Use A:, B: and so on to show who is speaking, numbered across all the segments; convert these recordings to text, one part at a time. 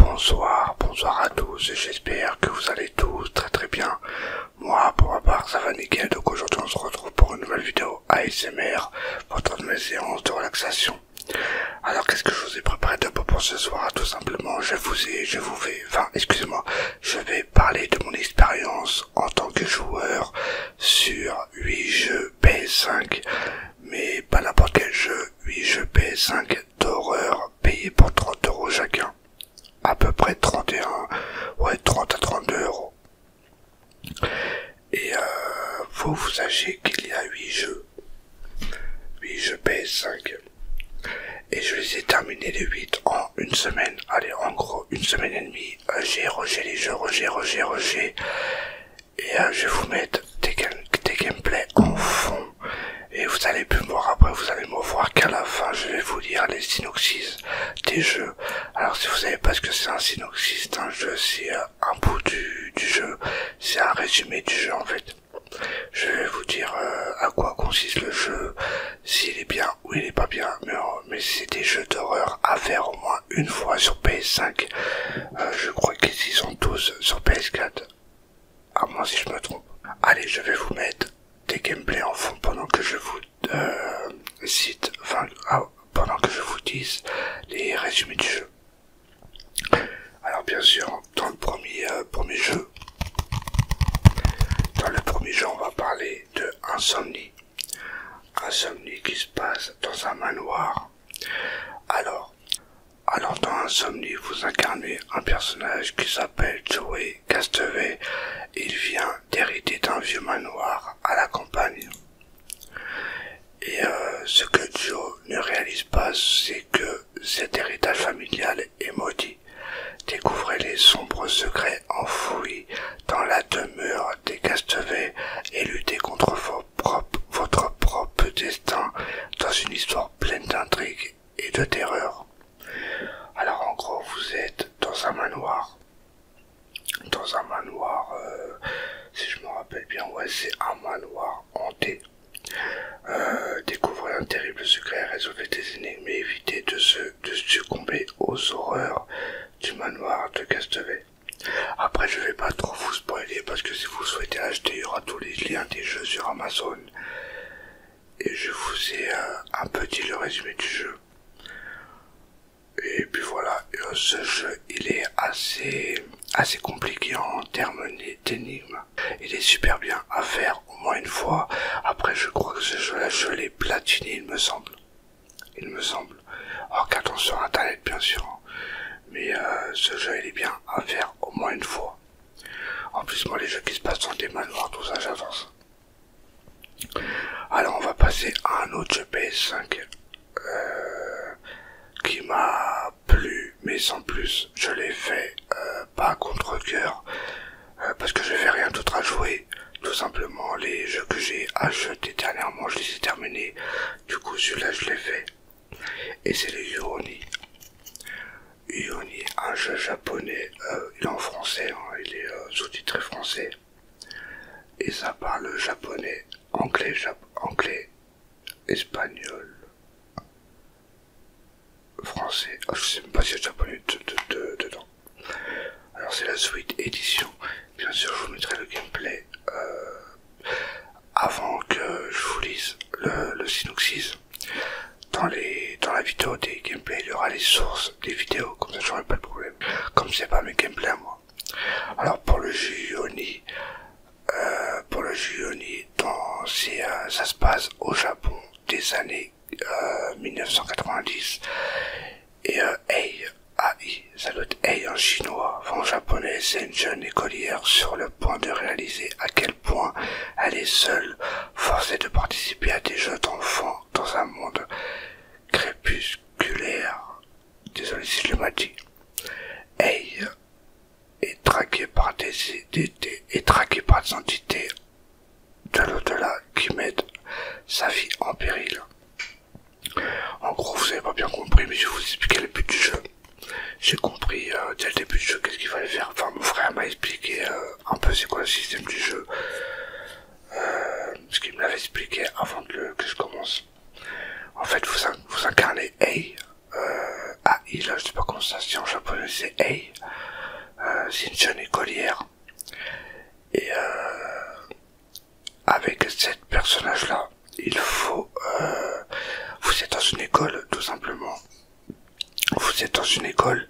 A: Bonsoir, bonsoir à tous, j'espère que vous allez tous très très bien. Moi pour ma part ça va nickel, donc aujourd'hui on se retrouve pour une nouvelle vidéo ASMR, pendant de mes séances de relaxation. Alors qu'est-ce que je vous ai préparé de pour ce soir ah, Tout simplement je vous ai, je vous vais, enfin excusez-moi, je vais parler de mon expérience en tant que joueur sur 8 jeux PS5, mais pas n'importe quel jeu, 8 jeux PS5 d'horreur payés pour 30 euros chacun. À peu près 31, ouais 30 à 32 euros. Et euh, vous, vous sachez qu'il y a 8 jeux. 8 jeux PS5. Et je les ai terminés les 8 en une semaine. Allez, en gros, une semaine et demie. Euh, j'ai rogé les jeux, rogé, rogé, rogé et euh, je vais vous mettre des, gameplays en fond et vous allez plus me voir après vous allez me voir qu'à la fin je vais vous dire les synopsis des jeux alors si vous savez pas ce que c'est un synopsis un jeu c'est euh, un bout du, jeu c'est un résumé du jeu en fait je vais vous dire euh, à quoi consiste le jeu s'il est bien ou il n'est pas bien mais, c'est des jeux d'horreur à faire au moins une fois sur PS5 je crois qu'ils y sont tous sur PS4 à ah, moins si je me trompe. Allez, je vais vous mettre des gameplays en fond pendant que je vous euh, cite, ah, pendant que je vous dise les résumés du jeu. Alors bien sûr, dans le premier, euh, premier jeu, dans le premier jeu, on va parler de insomnie. Insomnie qui se passe dans un manoir. Alors, alors dans Insomnie, vous incarnez un personnage qui s'appelle Joey Castaway. Il vient d'hériter d'un vieux manoir à la campagne. Et euh, ce que Joe ne réalise pas, c'est que cet héritage familial est maudit. Découvrez les sombres secrets enfouis dans la demeure des castevé et luttez contre votre propre destin dans une histoire pleine d'intrigues et de terreur. Alors en gros, vous êtes dans un manoir. Dans un manoir, euh, si je me rappelle bien, ouais, c'est un manoir hanté. Euh, découvrez un terrible secret, résolvez des énigmes et évitez de, se, succomber aux horreurs du manoir de Castevet. Après, je vais pas trop vous parce que si vous souhaitez acheter, il y aura tous les liens des jeux sur Amazon. Et je vous ai euh, un petit le résumé du jeu. Et puis voilà, euh, ce jeu il est assez, assez compliqué en termes d'énigmes. Il est super bien à faire au moins une fois. Après je crois que ce jeu là je l'ai platiné il me semble. Il me semble. En attention sur internet bien sûr. Hein. Mais euh, ce jeu il est bien à faire au moins une fois. En plus moi les jeux qui se passent sont des manoirs, tout ça j'avance. Alors on va passer à un autre jeu PS5 euh, qui m'a plu, mais sans plus. Je l'ai fait euh, pas contre coeur parce que je n'avais rien d'autre à jouer. Tout simplement les jeux que j'ai achetés dernièrement, je les ai terminés. Du coup celui-là je l'ai fait et c'est le Yuroni. Yuroni, un jeu japonais, euh, il est en français, hein, il est euh, sous-titré français. Et ça parle japonais, anglais, anglais, espagnol, français. je ah, je sais même pas si il y a japonais dedans. Alors c'est la suite édition. Bien sûr, je vous mettrai le gameplay euh, avant que je vous lise le, synopsis. Dans, les, dans la vidéo des gameplays, il y aura les sources des vidéos, comme ça j'aurai pas de problème. Comme c'est pas mes gameplays moi. Alors pour le Juni, euh, pour le dans, euh, ça se passe au Japon des années 1990. Euh, Et AI, ça doit être en chinois, en japonais, c'est une jeune écolière sur le point de réaliser à quel point elle est seule, forcée de participer à des jeux d'enfants dans un monde crépusculaire. Désolé si je le dit. elle est traquée par des, traquée par des entités de l'au-delà qui mettent sa vie en péril. En gros, vous avez pas bien compris, mais je vais vous expliquer le but du jeu j'ai compris euh, dès le début du jeu qu'est-ce qu'il fallait faire. Enfin, mon frère m'a expliqué euh, un peu c'est quoi le système du jeu, euh, ce qu'il me l'avait expliqué avant que, je commence. En fait, vous, vous incarnez Ei, A ah, il, je sais pas comment ça se en japonais, c'est Ei, c'est une jeune écolière. Et avec cette personnage-là, il faut... Euh, vous êtes dans une école, tout simplement. Vous êtes dans une école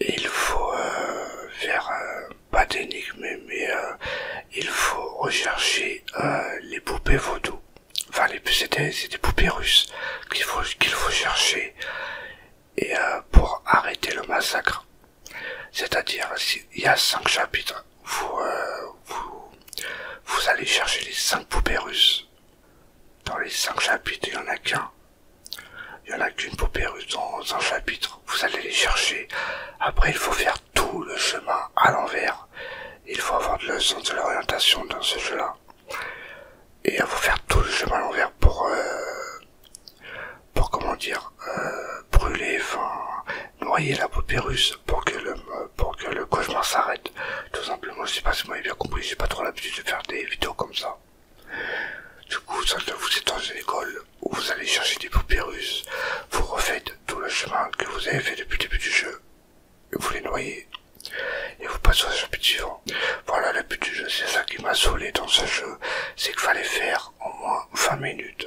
A: et il faut euh, faire... Euh, pas d'énigmes, mais il faut rechercher les poupées vaudou. Enfin, c'est des, poupées russes qu'il faut, qu'il faut chercher et pour arrêter le massacre. C'est-à-dire, il y a cinq chapitres vous, allez chercher les cinq poupées russes. Dans les cinq chapitres, il n'y en a qu'un. Il y en a qu'une poupée russe dans un chapitre. Vous allez les chercher. Après, il faut faire tout le chemin à l'envers. Il faut avoir le sens de l'orientation dans ce jeu-là. Et il faut faire tout le chemin à l'envers pour... Euh, pour comment dire... Euh, brûler, noyer la paupérus pour que le, pour que le cauchemar s'arrête. Tout simplement, je sais pas si vous m'avez bien compris, j'ai pas trop l'habitude de faire des vidéos comme ça. Du coup, ça vous êtes dans une école où vous allez chercher des paupérus, vous refaites tout le chemin que vous avez fait depuis le début du jeu, et vous les noyez, et vous passez au chapitre suivant. Voilà le but du jeu, c'est ça qui m'a saoulé dans ce jeu, c'est qu'il fallait faire au moins 20 minutes.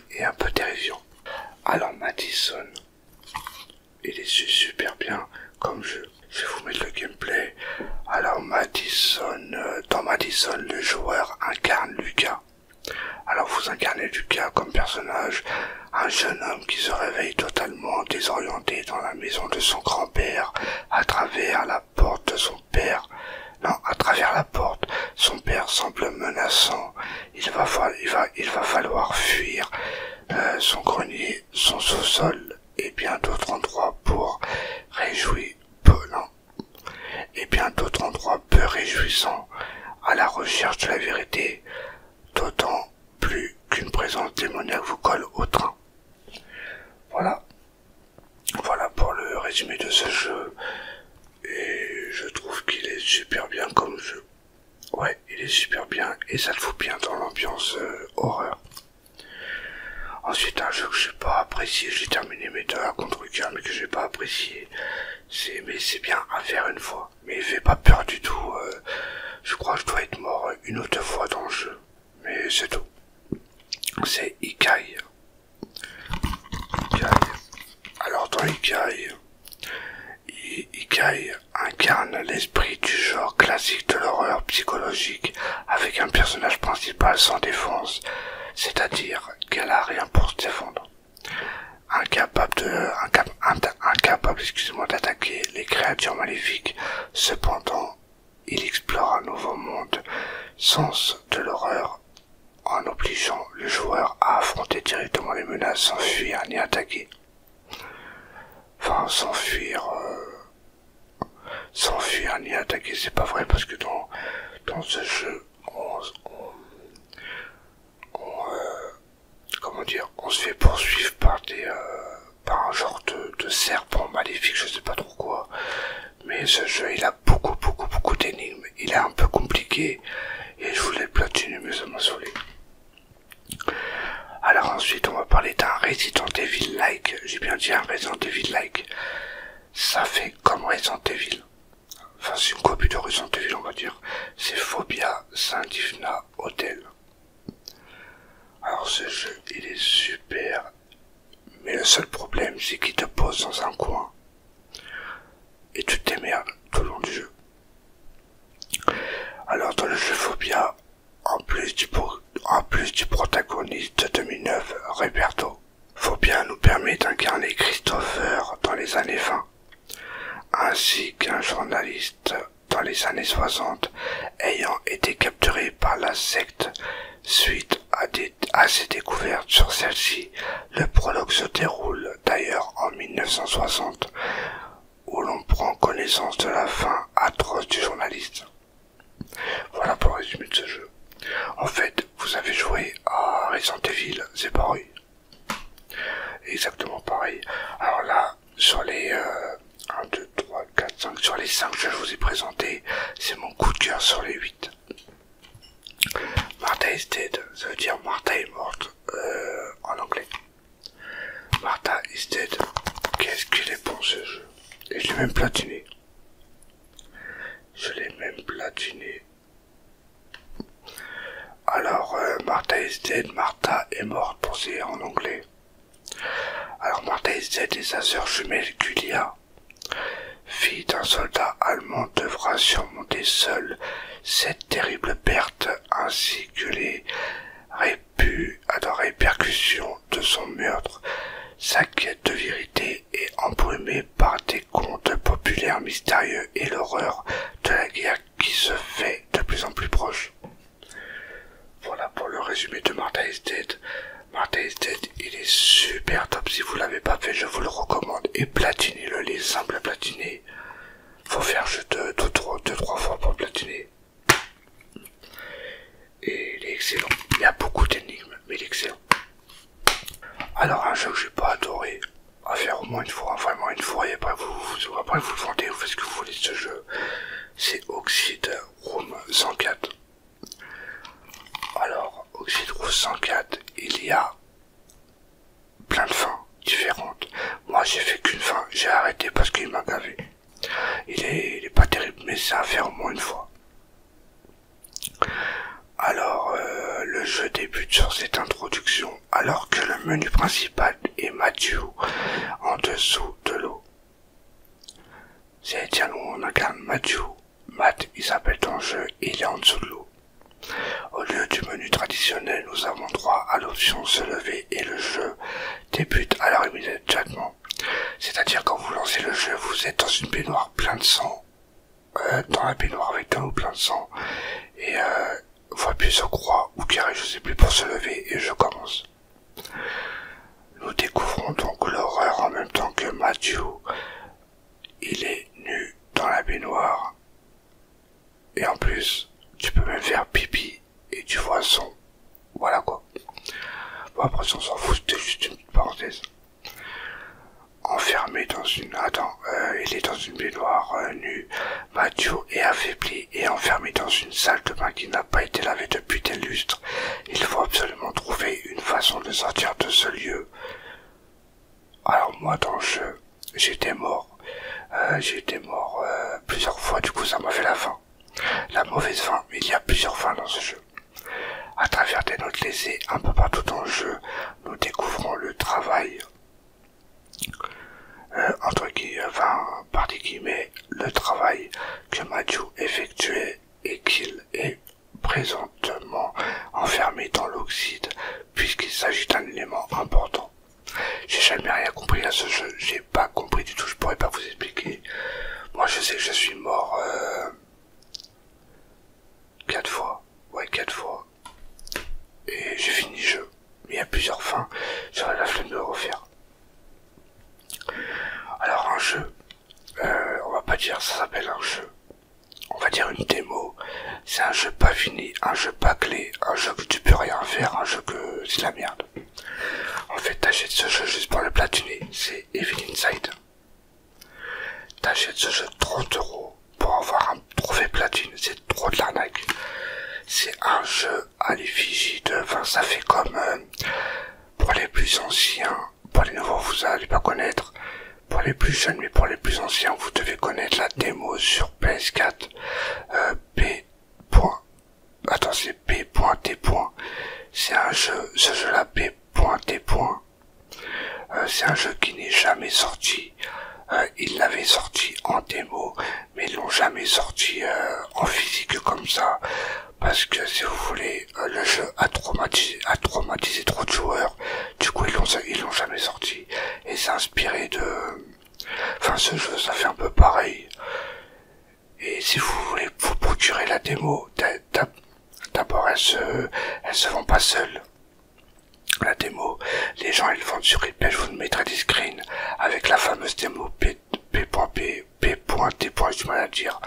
A: et un peu dérision. Alors Madison, il est super bien comme jeu. Je vais vous mettre le gameplay. Alors Madison, euh, dans Madison, le joueur incarne Lucas. Alors vous incarnez Lucas comme personnage, un jeune homme qui se réveille totalement désorienté dans la maison de son grand-père à travers la porte de son père. à travers la porte, son père semble menaçant. Il va, il va falloir fuir euh, son grenier, son sous-sol et bien d'autres endroits pour réjouir. Peu, hein. Et bien d'autres endroits peu réjouissants à la recherche de la vérité, d'autant plus qu'une présence démoniaque vous colle au train. Voilà. Voilà pour le résumé de ce jeu. Et je trouve qu'il est super bien comme jeu. Ouais, il est super bien et ça le fout bien dans l'ambiance euh, horreur. Ensuite, un jeu que j'ai pas apprécié, j'ai terminé mes heures contre cœur mais que j'ai pas apprécié. C'est, mais c'est bien à faire une fois. Mais il fait pas peur du tout. Euh, je crois que je dois être mort une autre fois dans le jeu. Mais c'est tout. C'est Ikai. Alors dans Ikaï, Ikai incarne l'esprit du genre classique de l'horreur psychologique avec un personnage principal sans défense, c'est-à-dire qu'elle a rien pour se défendre. Incapable d'attaquer les créatures maléfiques. Cependant, il explore un nouveau monde, sens de l'horreur en obligeant le joueur à affronter directement les menaces sans fuir ni attaquer. Enfin, sans fuir, euh, sans fuir ni attaquer, c'est pas vrai parce que dans, dans ce jeu, on, euh, comment dire, se fait poursuivre par des, euh, par un genre de, de serpent maléfique, je sais pas trop quoi. Mais ce jeu, il a beaucoup, beaucoup, beaucoup d'énigmes. Il est un peu compliqué et je voulais platiner, mais ça m'a saoulé. Alors ensuite, on va parler d'un Resident Evil like. J'ai bien dit un Resident Evil like. Ça fait comme Resident Evil. Enfin, c'est une copie de Resident Evil, on va dire. C'est Phobia Saint-Divna Hotel. Alors ce jeu, il est super. Mais le seul problème, c'est qu'il te pose dans un coin. Et tu t'aimes tout le long du jeu. Alors dans le jeu bien en plus du, en plus du protagoniste de 2009, Roberto, bien nous permet d'incarner Christopher dans les années 20, ainsi qu'un journaliste dans les années 60 ayant été capturé par la secte suite à des à ses découvertes sur celle-ci. Le prologue se déroule d'ailleurs en 1960, où l'on prend connaissance de la fin atroce du journaliste. Voilà pour le résumé de ce jeu. En fait, vous avez joué à Resident Evil, c'est pareil. Exactement pareil. Alors là, sur les 1, 2, 3, 4, 5, sur les 5 que je vous ai présentés, c'est mon coup de cœur sur les 8. Martha is dead, ça veut dire Martha est morte euh, en anglais. Martha is dead. Qu'est-ce qu'il est pour ce jeu Et je l'ai même platiné. Je l'ai même platiné. Alors, euh, Martha is dead, Martha est morte pour en anglais. Alors, Martha is dead et sa sœur jumelle Julia Fille d'un soldat allemand devra surmonter seule cette terrible perte ainsi que les répu à ah, la répercussion de son meurtre, sa quête de vérité est embrumée par des contes populaires mystérieux et l'horreur de la guerre qui se fait de plus en plus proche. Voilà pour le résumé de Mortalisted, il est super top. Si vous l'avez pas fait, je vous le recommande. Et platinez-le, les simple à platiner. Faut faire juste 2-3 fois pour platiner. Et il est excellent. Il y a beaucoup d'énigmes, mais il est excellent. Alors, un jeu que j'ai pas adoré à faire au moins une fois, vraiment une fois, et après vous, après vous le vendez, vous faites ce que vous voulez de ce jeu. C'est Oxide Room 104. Alors, au 104, il y a plein de fins différentes. Moi, j'ai fait qu'une fin, j'ai arrêté parce qu'il m'a gavé. Il est, pas terrible, mais ça a fait au moins une fois. Alors, euh, le jeu débute sur cette introduction, alors que le menu principal est Mathieu en dessous de l'eau. cest à on où on même Mathieu Matt, il s'appelle ton jeu il est en dessous de l'eau. Au lieu du menu traditionnel, nous avons droit à l'option se lever et le jeu débute à de immédiatement. C'est-à-dire quand vous lancez le jeu, vous êtes dans une baignoire plein de sang, euh, dans la baignoire avec un l'eau plein de sang, et euh, vous appuyez sur croix ou carré, je sais plus, pour se lever et je commence. Nous découvrons donc l'horreur en même temps que Matthew il est nu dans la baignoire. Et en plus, tu peux même faire pipi et tu vois son. Voilà quoi. Bon, après, on s'en fout, c'était juste une petite parenthèse. Enfermé dans une. Attends, euh, il est dans une baignoire euh, nu, nue. Mathieu affaibli et enfermé dans une salle de bain qui n'a pas été lavée depuis des lustres. Il faut absolument trouver une façon de sortir de ce lieu. Alors moi dans le jeu, j'étais mort. Euh, j'étais mort euh, plusieurs fois, du coup ça m'a fait la fin, La mauvaise fin, mais il y a plusieurs fins dans ce jeu. À travers des notes lésées, un peu partout dans le jeu, nous découvrons le travail, euh, entre guillemets, par guillemets, le travail que Mathieu effectuait et qu'il est présentement enfermé dans l'oxyde, puisqu'il s'agit d'un élément important. J'ai jamais rien compris à ce jeu, j'ai pas compris du tout, je pourrais pas vous expliquer. Moi je sais que je suis mort euh, quatre fois, ouais quatre fois. Et j'ai fini jeu. Mais il y a plusieurs fins, j'aurais la flemme de refaire. Alors un jeu, euh, on va pas dire ça s'appelle un jeu on va dire une démo. C'est un jeu pas fini, un jeu pas clé, un jeu que tu peux rien faire, un jeu que c'est la merde. En fait, t'achètes ce jeu juste pour le platiner, c'est Evil Inside. T'achètes ce jeu 30 euros pour avoir un trophée platine, c'est trop de l'arnaque. C'est un jeu à l'effigie de, enfin ça fait comme euh, pour les plus anciens pour les nouveaux, vous allez pas connaître. Pour les plus jeunes, mais pour les plus anciens, vous devez connaître la démo sur PS4. Euh, P. Attends, c'est P.T. C'est un jeu, ce jeu-là, P.T. Euh, c'est un jeu qui n'est jamais sorti. Il euh, ils l'avaient sorti en démo, mais ils l'ont jamais sorti euh, en physique comme ça. Parce que si vous voulez, le jeu a traumatisé trop de joueurs du coup, ils l'ont, jamais sorti. Et c'est inspiré de... Enfin, ce jeu, ça fait un peu pareil. Et si vous voulez vous procurer la démo, d'abord, elle se, elles se vend pas seules. La démo, les gens, ils vendent sur eBay. Je vous mettrai des screens avec la fameuse démo P.P.P.T. P. du mal à dire.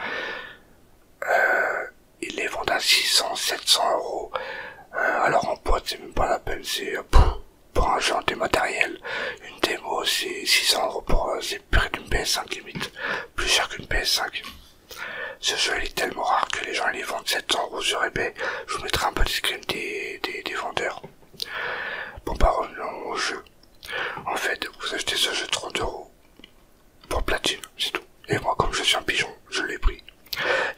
A: Euh, ils les vendent à 600, 700 euros. Euh, alors en pote, c'est même pas la peine, c'est euh, pour un jeu en dématériel. Une démo, c'est 600 euros pour un euh, c'est plus PS5 limite, plus cher qu'une PS5. Ce jeu est tellement rare que les gens les vendent 700 euros sur eBay. Je vous mettrai un peu screen des, des, vendeurs. Bon, pas bah, revenons au jeu. En fait, vous achetez ce jeu 30 euros pour platine, c'est tout. Et moi, comme je suis un pigeon, je l'ai pris.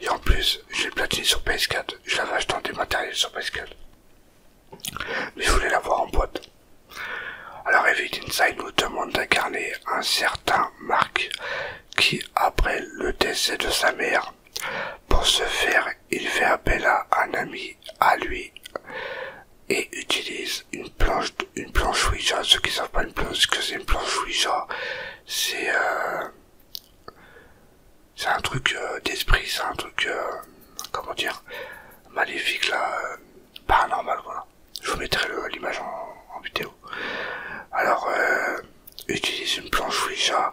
A: Et en plus, j'ai platine sur PS4. Je l'avais acheté en matériels sur PS4. Mais je voulais l'avoir en boîte. Alors, Evil Inside nous demande d'incarner un certain Marc qui, après le décès de sa mère, pour ce faire, il fait appel à un ami à lui et utilise une une planche, une planche Ouija. Ceux qui savent pas une planche, que c'est une planche Ouija, c'est euh, un truc euh, d'esprit, c'est un truc euh, comment dire maléfique là, paranormal voilà. Je vous mettrai l'image en, vidéo. Alors utilise une planche Ouija,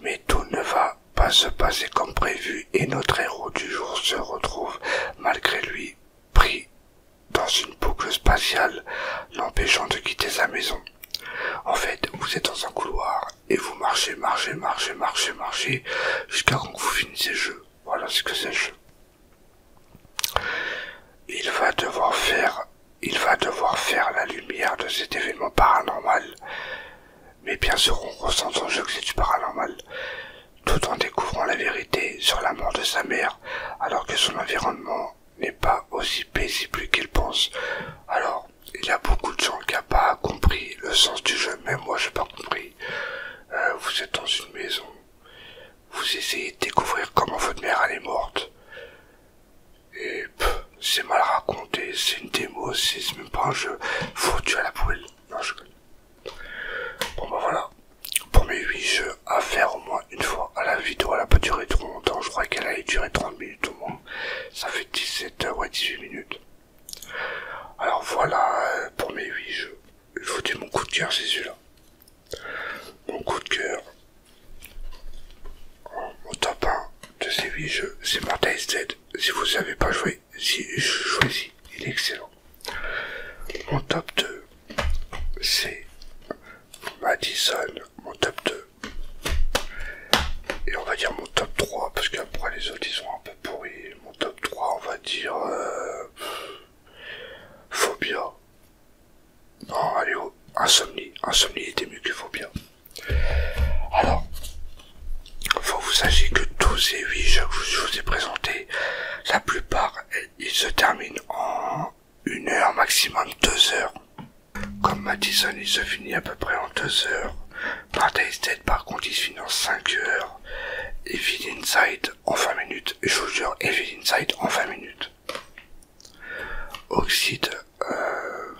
A: mais tout ne va pas se passer comme prévu et notre héros du jour se retrouve malgré lui pris dans une boucle spatiale l'empêchant de quitter sa maison. En fait, vous êtes dans un couloir et vous marchez, marchez, marchez, marchez, marchez jusqu'à quand vous finissez le jeu. Voilà ce que c'est le jeu. Il va devoir faire, il va devoir faire la lumière de cet événement paranormal. Mais bien sûr, on ressent dans jeu que c'est du paranormal tout en découvrant la vérité sur la mort de sa mère, alors que son environnement n'est pas aussi paisible qu'il pense. Alors, il y a beaucoup de gens qui n'ont pas compris le sens du jeu, même moi j'ai pas compris. Euh, vous êtes dans une maison, vous essayez de découvrir comment votre mère est morte. Et c'est mal raconté, c'est une démo, c'est même pas un jeu. Foutu à la poubelle. Bon bah voilà, pour mes 8 jeux à faire au moins une fois à la vidéo, elle n'a pas duré trop longtemps, je crois qu'elle allait durer 30 minutes au moins. Ça fait 17 h euh, ouais 18 minutes. Alors voilà euh, pour mes 8 jeux. il faut dire mon coup de cœur, c'est celui-là. Mon coup de cœur. Au top 1 de ces 8 jeux, c'est Mortal Si vous savez pas jouer, si, je choisis, il est excellent. Mon top 2, c'est Madison, mon top 2. Et on va dire mon top 3, parce qu'après les autres ils sont un peu pourris. Mon top 3, on va dire. Euh, Phobia. Non, allez, oh, Insomnie. Insomnie était mieux que Phobia. Alors, faut que vous sachiez que tous et 8 jeux que je vous ai présentés, la plupart il se termine en 1 heure, maximum 2 heures. Comme Madison, il se finit à peu près en 2 heures. Partystate, par contre, il se finit en 5 heures. Evil Inside en 20 minutes. je vous jure, Evil Inside en 20 minutes. Oxide, euh,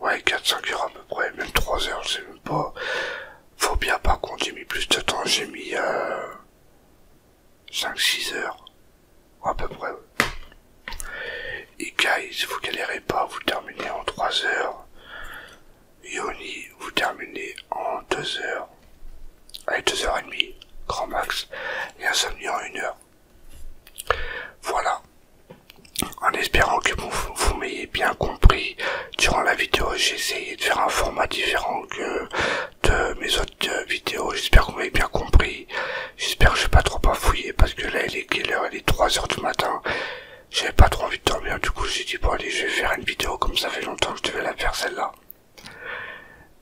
A: ouais, 4-5 heures à peu près, même 3 heures, je sais même pas. bien, par contre, j'ai mis plus de temps, j'ai mis, euh, 5-6 heures, à peu près. Et si vous galérez pas, vous terminez en 3 heures. Yoni, vous terminez en 2 heures. Allez, 2h30, grand max. Et insomnie en 1 heure. Voilà. En espérant que vous m'ayez bien compris, durant la vidéo, j'ai essayé de faire un format différent que de mes autres euh, vidéos. J'espère que vous m'avez bien compris. J'espère que je pas trop pas parce que là, il est quelle heure Il est 3 heures du matin. J'avais pas trop envie de dormir. Du coup, j'ai dit, bon, allez, je vais faire une vidéo comme ça fait longtemps que je devais la faire celle-là.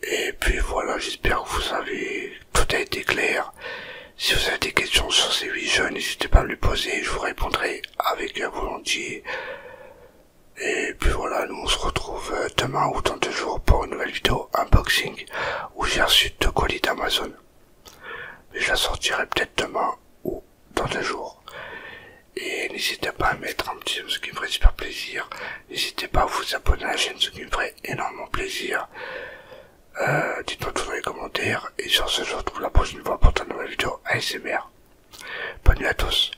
A: Et puis voilà, j'espère que vous avez... Tout a été clair. Si vous avez des questions sur ces huit jeux, n'hésitez pas à me les poser. Je vous répondrai avec volontiers. Et puis voilà, nous on se retrouve euh, demain ou dans deux jours pour une nouvelle vidéo unboxing où j'ai reçu deux colis d'Amazon. Mais je la sortirai peut-être demain ou dans deux jours. Et n'hésitez pas à mettre un petit like, ce qui me ferait super plaisir. N'hésitez pas à vous abonner à la chaîne, ce qui me ferait énormément plaisir. Euh, dites-moi tout dans les commentaires. Et sur ce, je vous retrouve la prochaine fois pour une nouvelle vidéo ASMR. Bonne nuit à tous.